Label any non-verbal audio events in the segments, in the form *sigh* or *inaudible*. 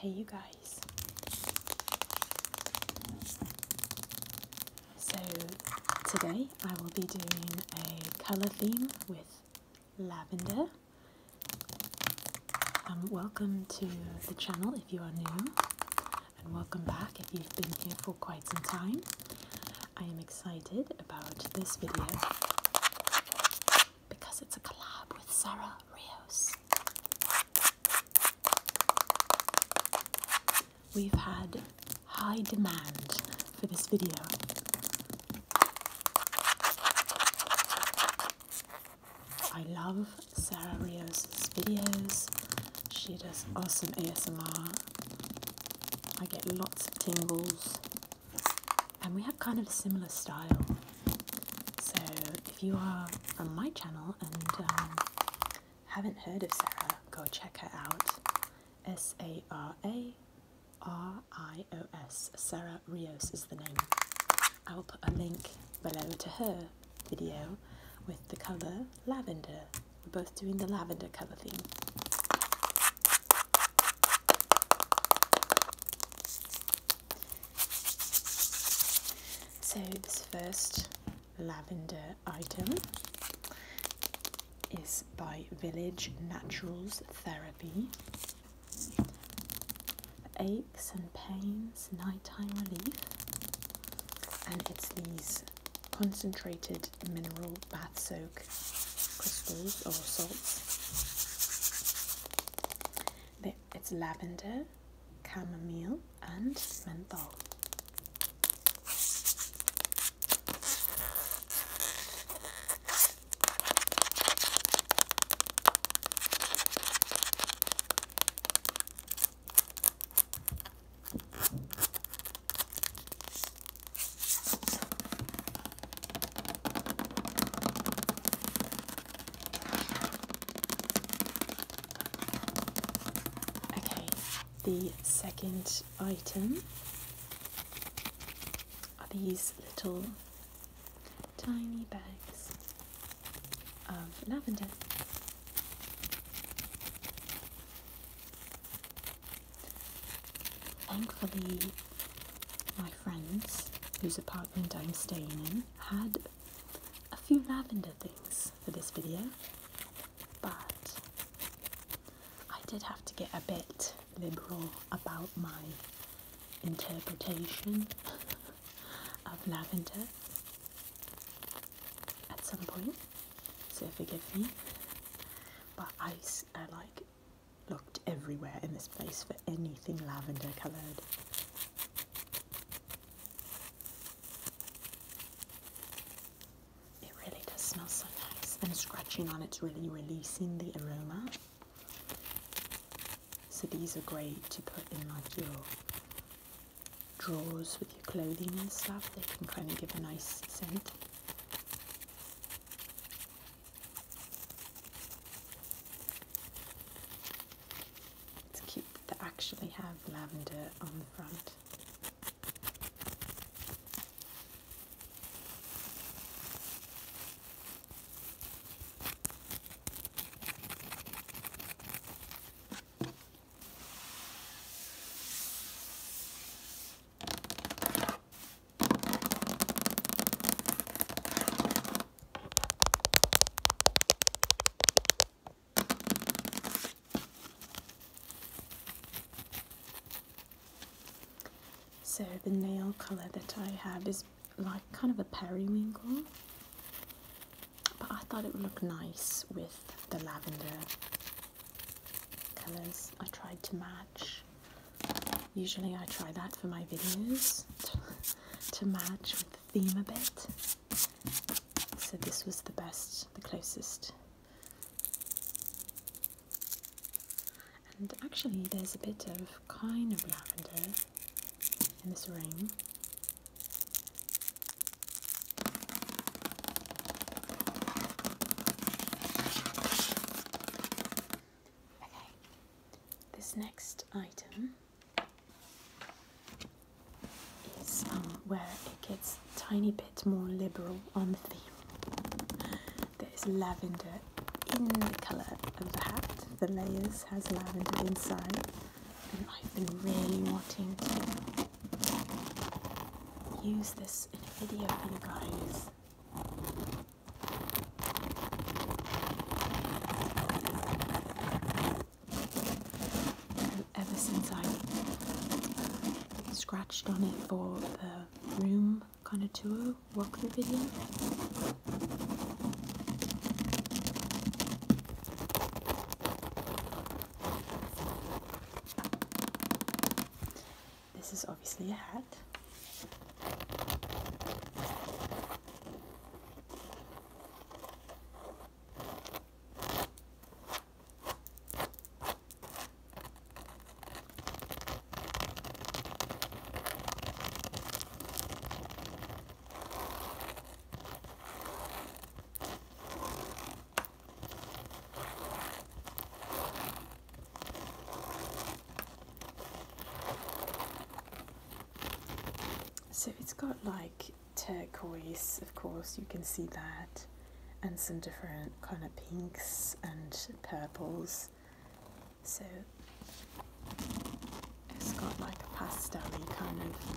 Hey, you guys. So, today I will be doing a colour theme with lavender. Um, welcome to the channel if you are new and welcome back if you've been here for quite some time. I am excited about this video because it's a collab with Sarah Rios. We've had high demand for this video. I love Sarah Rios' videos. She does awesome ASMR. I get lots of tingles. And we have kind of a similar style. So if you are from my channel and um, haven't heard of Sarah, go check her out. S A R A R I O S. Sarah Rios is the name. I will put a link below to her video with the colour lavender. We're both doing the lavender colour theme. So this first lavender item is by Village Naturals Therapy. aches and pains, nighttime relief and it's these concentrated mineral bath soak crystals or salts. it's lavender, chamomile, and menthol. Okay, the second item are these little tiny bags of lavender. Thankfully, my friends whose apartment I'm staying in had a few lavender things for this video, but I did have to get a bit liberal about my interpretation *laughs* of lavender at some point, so forgive me. But I, I like looked everywhere in this place for anything lavender coloured. It really does smell so nice, and scratching on it's really releasing the aroma. So these are great to put in like your drawers with your clothing and stuff, they can kind of give a nice scent. It's cute that they actually have lavender on the front. So the nail colour that I have is like kind of a periwinkle but I thought it would look nice with the lavender colors. I tried to match. Usually I try that for my videos to, match with the theme a bit. So this was the best, the closest. And actually there's a bit of kind of lavender in this ring. Okay, this next item is um, where it gets tiny bit more liberal on the theme. There is lavender in the colour of the hat, the layers has lavender inside. I've been really wanting to use this in a video for you guys. And ever since I scratched on it for the room kind of tour walkthrough video. This is obviously a hat. So it's got like turquoise, of course, you can see that, and some different kind of pinks and purples. So it's got like a pastel kind of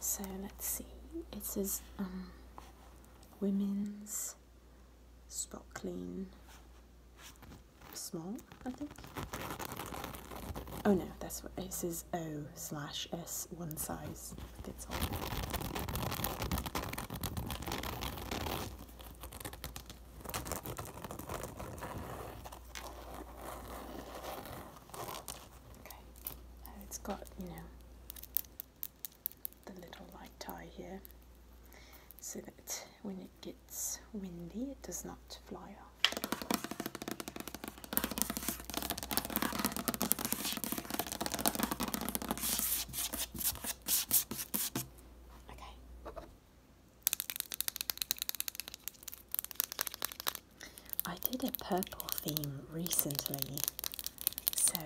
So let's see. It says um, women's spot clean small, I think. Oh no, that's what it says O slash S one size fits all. Okay, it's got, you know, the little light tie here so that when it gets windy it does not fly off. Okay, I did a purple theme recently, so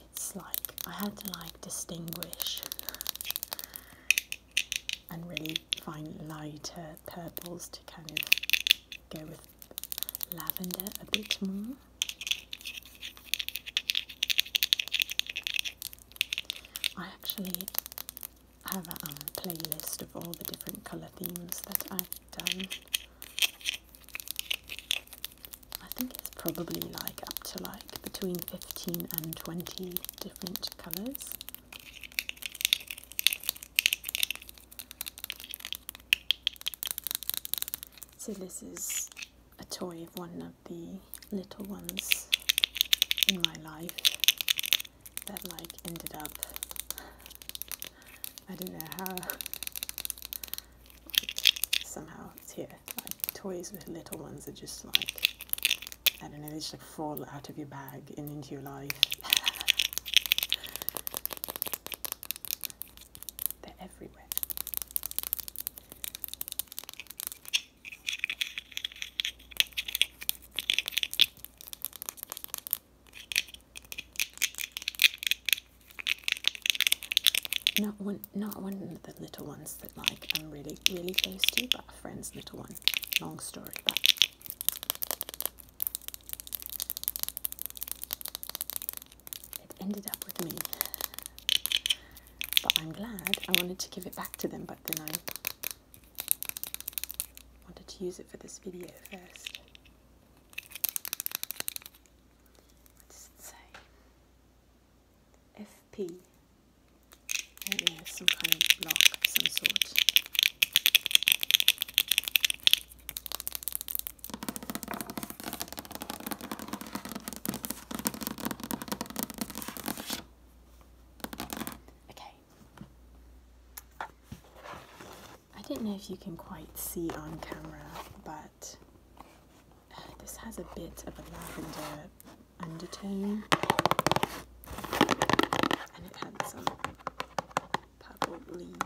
it's like I had to like distinguish and really find lighter purples to kind of go with lavender a bit more. I actually have a um, playlist of all the different colour themes that I've done. I think it's probably like up to like between 15 and 20 different colours. So this is a toy of one of the little ones in my life that like ended up I don't know how somehow it's here like toys with little ones are just like I don't know they just like fall out of your bag and into your life *laughs* they're everywhere not one, not one of the little ones that like I'm really, really close to, but a friend's little one. Long story, but it ended up with me. But I'm glad. I wanted to give it back to them, but then I wanted to use it for this video first. What does it say? FP. Yeah, some kind of block of some sort. Okay. I don't know if you can quite see on camera, but uh, this has a bit of a lavender undertone and it had some purple leaves.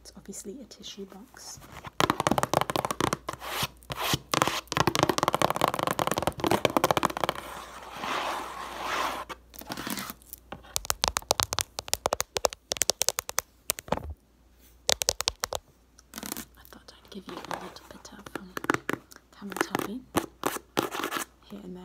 It's obviously a tissue box. I thought I'd give you a little bit of um, camera tapping here and there.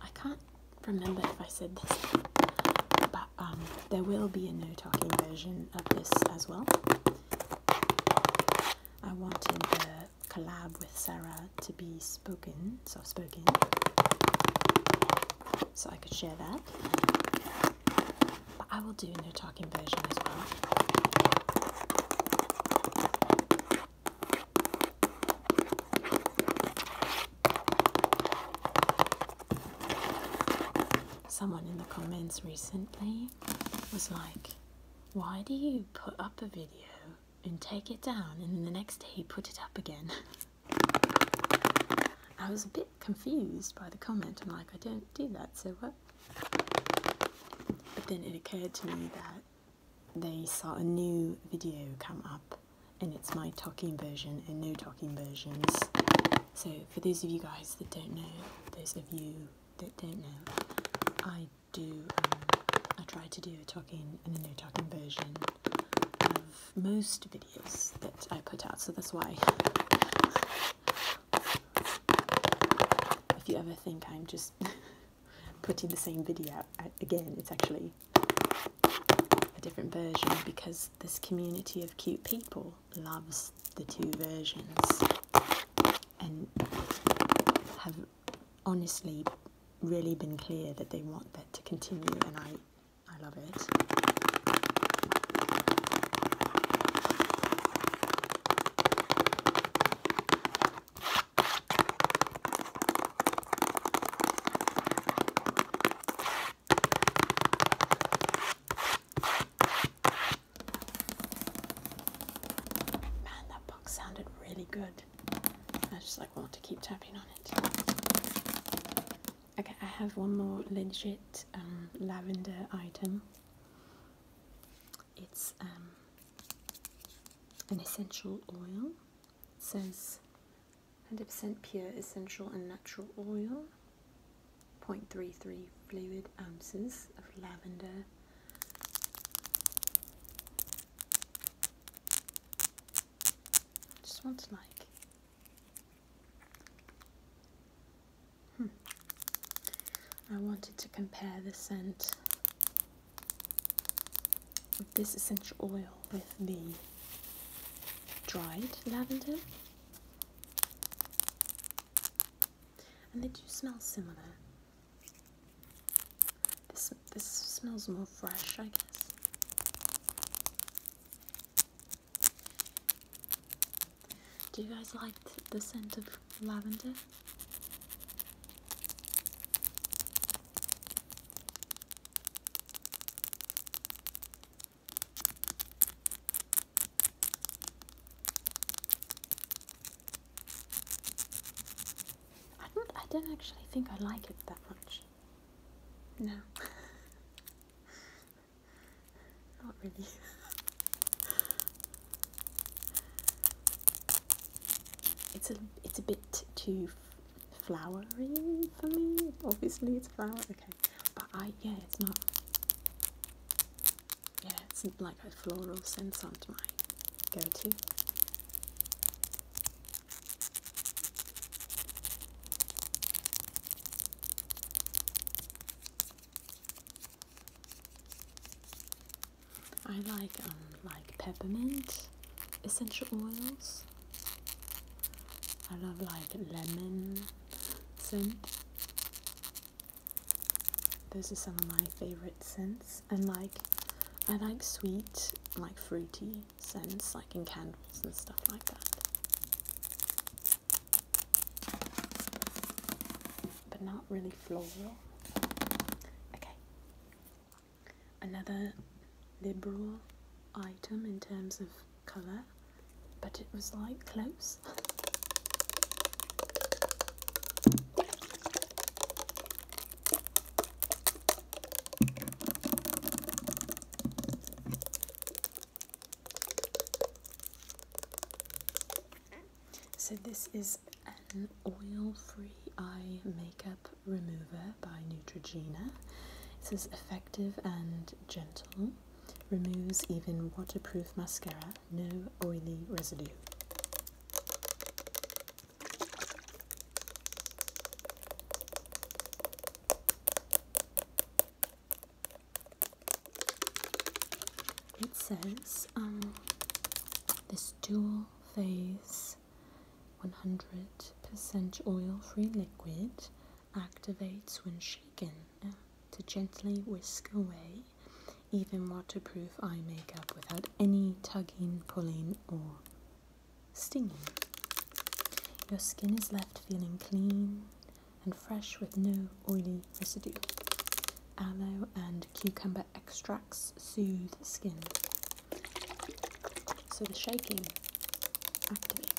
I can't remember if I said this, but um, there will be a no talking version of this as well. I wanted the collab with Sarah to be spoken, soft spoken, so I could share that. But I will do no talking version as well. Someone in the comments recently was like, Why do you put up a video and take it down and then the next day put it up again? *laughs* I was a bit confused by the comment. I'm like, I don't do that, so what? But then it occurred to me that they saw a new video come up and it's my talking version and no talking versions. So, for those of you guys that don't know, those of you that don't know, I do, um, I try to do a talking and a no talking version of most videos that I put out, so that's why. If you ever think I'm just *laughs* putting the same video uh, again, it's actually a different version because this community of cute people loves the two versions and have honestly really been clear that they want that to continue and I, I love it. Man, that box sounded really good. I just like want to keep tapping on it. Okay, I have one more legit um, lavender item. It's um, an essential oil. says 100% pure essential and natural oil, 0.33 fluid ounces of lavender. Just smells like. Hmm. I wanted to compare the scent of this essential oil with the dried lavender. And they do smell similar. This this smells more fresh, I guess. Do you guys like the scent of lavender? I don't actually think I like it that much. No. *laughs* Not really. it's a it's a bit too flowery for me. Obviously, it's flowery okay. But I, yeah, it's not. Yeah, it's like a floral scent onto my go-to. I like um like peppermint essential oils I love like lemon scent. Those are some of my favorite scents, and like I like sweet, like fruity scents, like in candles and stuff like that. But not really floral. Okay, another liberal item in terms of colour, but it was like close. So this is an oil-free eye makeup Remover by Neutrogena. It says effective and gentle, removes even waterproof mascara, no oily residue. It says um, this dual phase 100% oil free liquid activates when shaken uh, to gently whisk away even waterproof eye makeup without any tugging, pulling, or stinging. Your skin is left feeling clean and fresh with no oily residue. Aloe and cucumber extracts soothe skin so the shaking activates.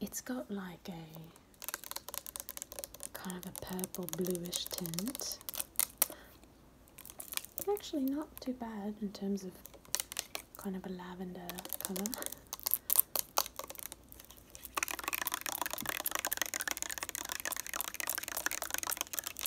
It's got like a kind of a purple bluish tint. actually not too bad in terms of kind of a lavender colour.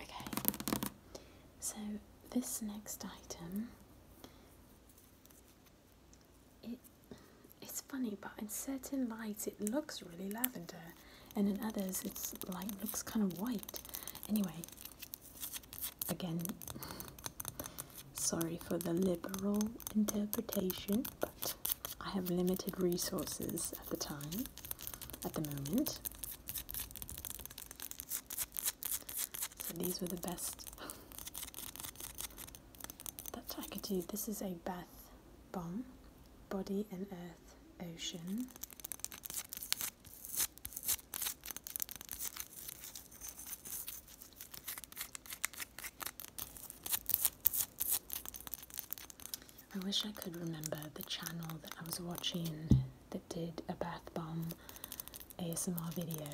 Okay, so this next item, it it's funny, but in certain lights it looks really lavender, and in others it's like looks kind of white. Anyway, again, sorry for the liberal interpretation, I have limited resources at the time, at the moment. So these were the best *laughs* that I could do. This is a bath bomb, body and earth ocean. I wish I could remember the channel that I was watching that did a bath bomb ASMR video.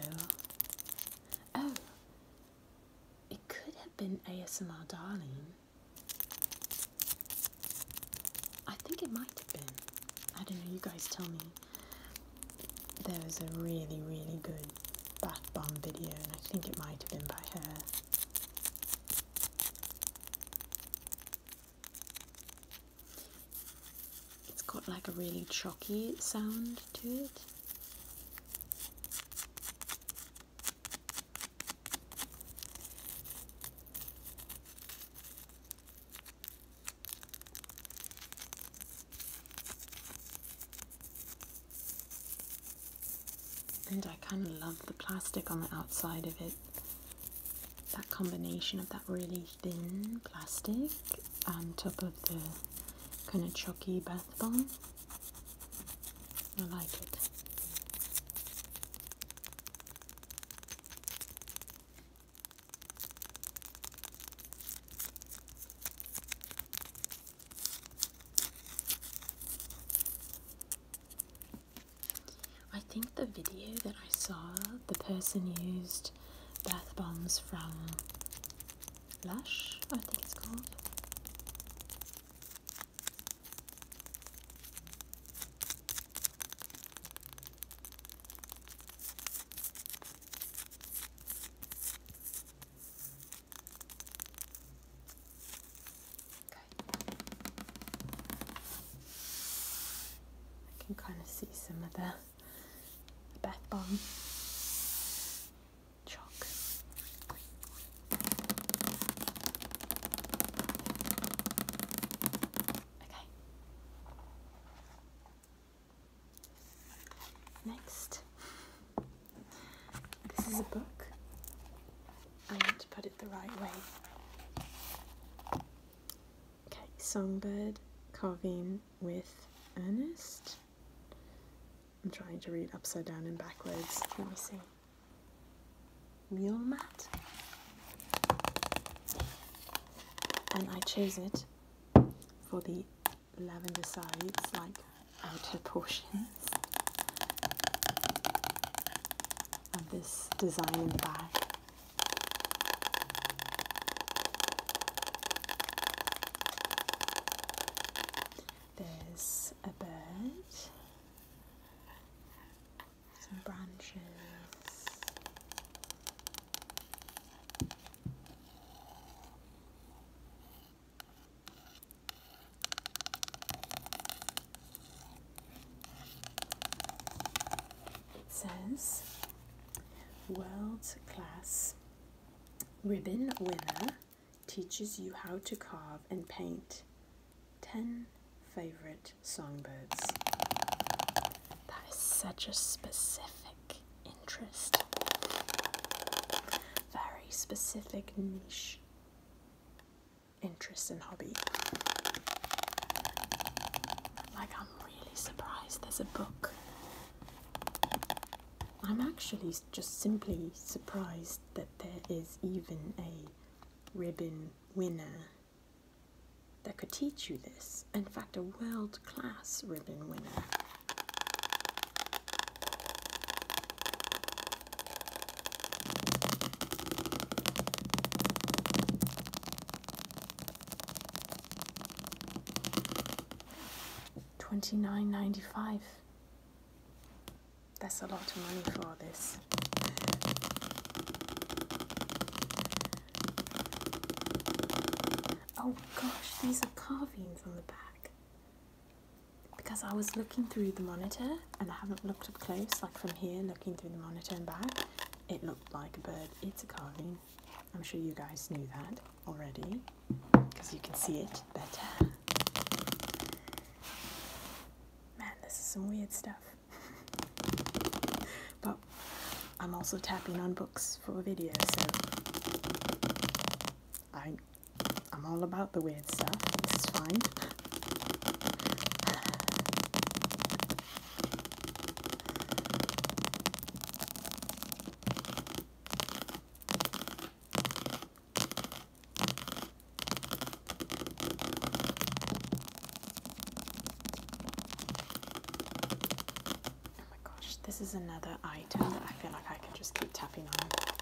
Oh, it could have been ASMR Darling. I think it might have been. I don't know, you guys tell me. There was a really, really good bath bomb video, and I think it might have been by her. It's got like a really chalky sound to it. And I kind of love the plastic on the outside of it. That combination of that really thin plastic on top of the kind of chalky bath bomb. I like it. I think the video that I saw, the person used bath bombs from Lush, I think it's called. I can kind of see some of the, the bath bomb chalk. Okay. Next, this is a book. I want to put it the right way. Okay, Songbird Carving with Ernest. I'm trying to read upside down and backwards. Let me see. Mule mat. And I chose it for the lavender sides, like outer portions of this design in the back. There's a bird, some branches says world class ribbon winner teaches you how to carve and paint 10 favorite songbirds. That is such a specific interest. Very specific niche interest and hobby. Like, I'm really surprised there's a book. I'm actually just simply surprised that there is even a ribbon winner that could teach you this. In fact, a world class ribbon winner. Twenty nine ninety five. That's a lot of money for this. Oh gosh, these are carvings on the back because I was looking through the monitor and I haven't looked up close, like from here looking through the monitor and back, it looked like a bird. It's a carving. I'm sure you guys knew that already because you can see it better. Man, this is some weird stuff. *laughs* but I'm also tapping on books for video, so I I'm all about the weird stuff. This is fine. Oh my gosh, this is another item that I feel like I can just keep tapping on them.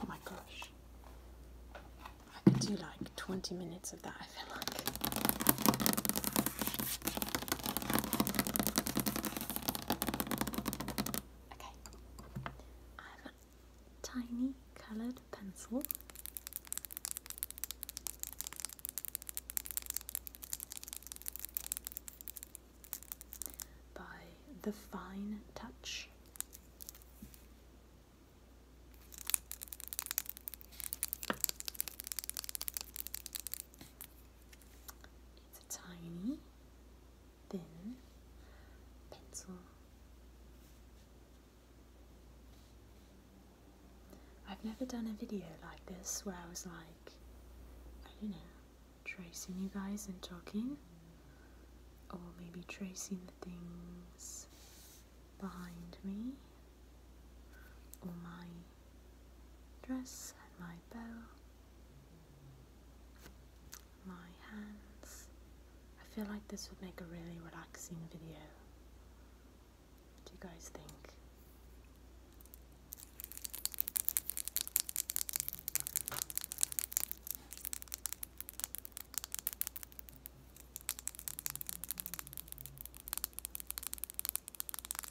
Oh my gosh. I could do like 20 minutes of that, I feel like. Okay, I have a tiny coloured pencil. By the fine touch. It's a tiny, thin pencil. I've never done a video like this where I was like, I don't know, tracing you guys and talking, or maybe tracing the things behind me, or my dress and my bow, my hands. I feel like this would make a really relaxing video. What do you guys think?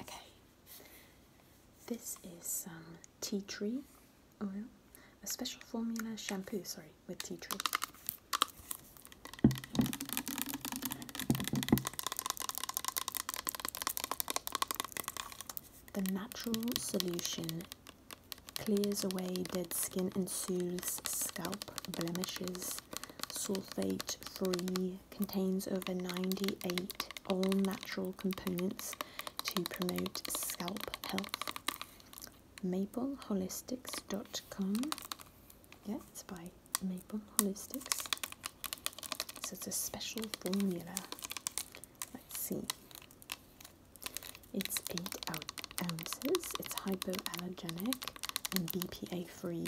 Okay, this is some tea tree oil, a special formula shampoo, sorry, with tea tree. The natural solution clears away dead skin and soothes scalp blemishes. Sulfate free contains over 98 all natural components to promote scalp health. MapleHolistics.com. Yeah, it's by Maple Holistics. it's a special formula. Let's see. It's 8 ounces, it's hypoallergenic and BPA free.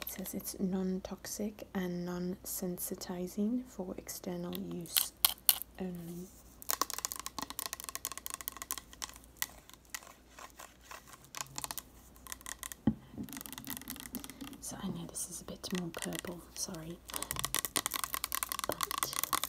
It says it's non toxic and non sensitizing for external use only. So I know this is a bit more purple, sorry. But I tried.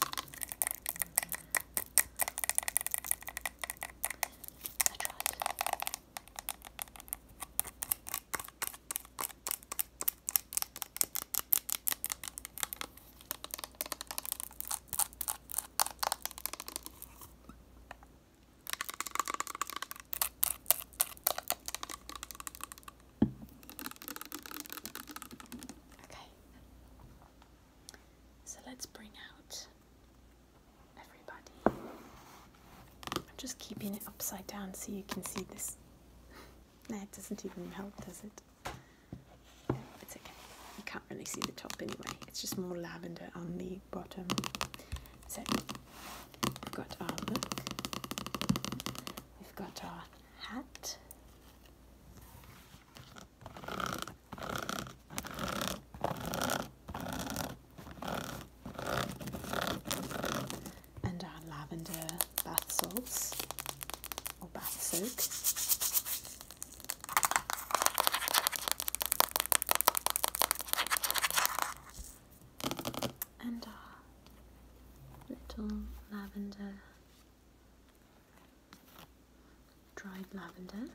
Okay, so let's bring out everybody. I'm just keeping it upside down so you can see this. That *laughs* doesn't even help, does it? It's okay. You can't really see the top anyway. It's just more lavender on the bottom. So we've got our look, we've got our hat. And our lavender bath salts or bath soak and our little lavender, dried lavender,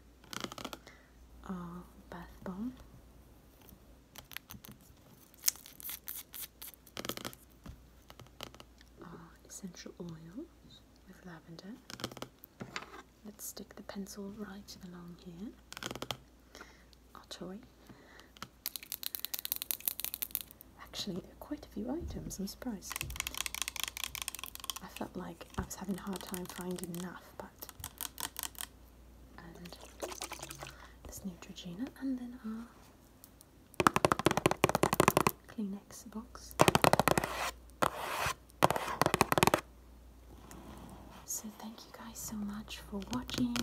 our bath bomb. Our essential oils with lavender, Let's stick the pencil right along here, our oh, toy. Actually, quite a few items, I'm surprised. I felt like I was having a hard time finding enough, but. And Neutrogena, and then our Kleenex box. So, thank you guys so much for watching.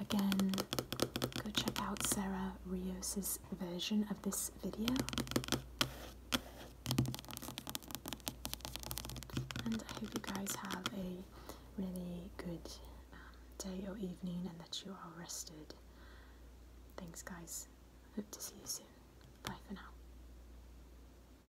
Again, go check out Sarah Rios's version of this video. And I hope you guys have a really good um, day or evening and that you are rested. Thanks, guys. Hope to see you soon. Bye for now.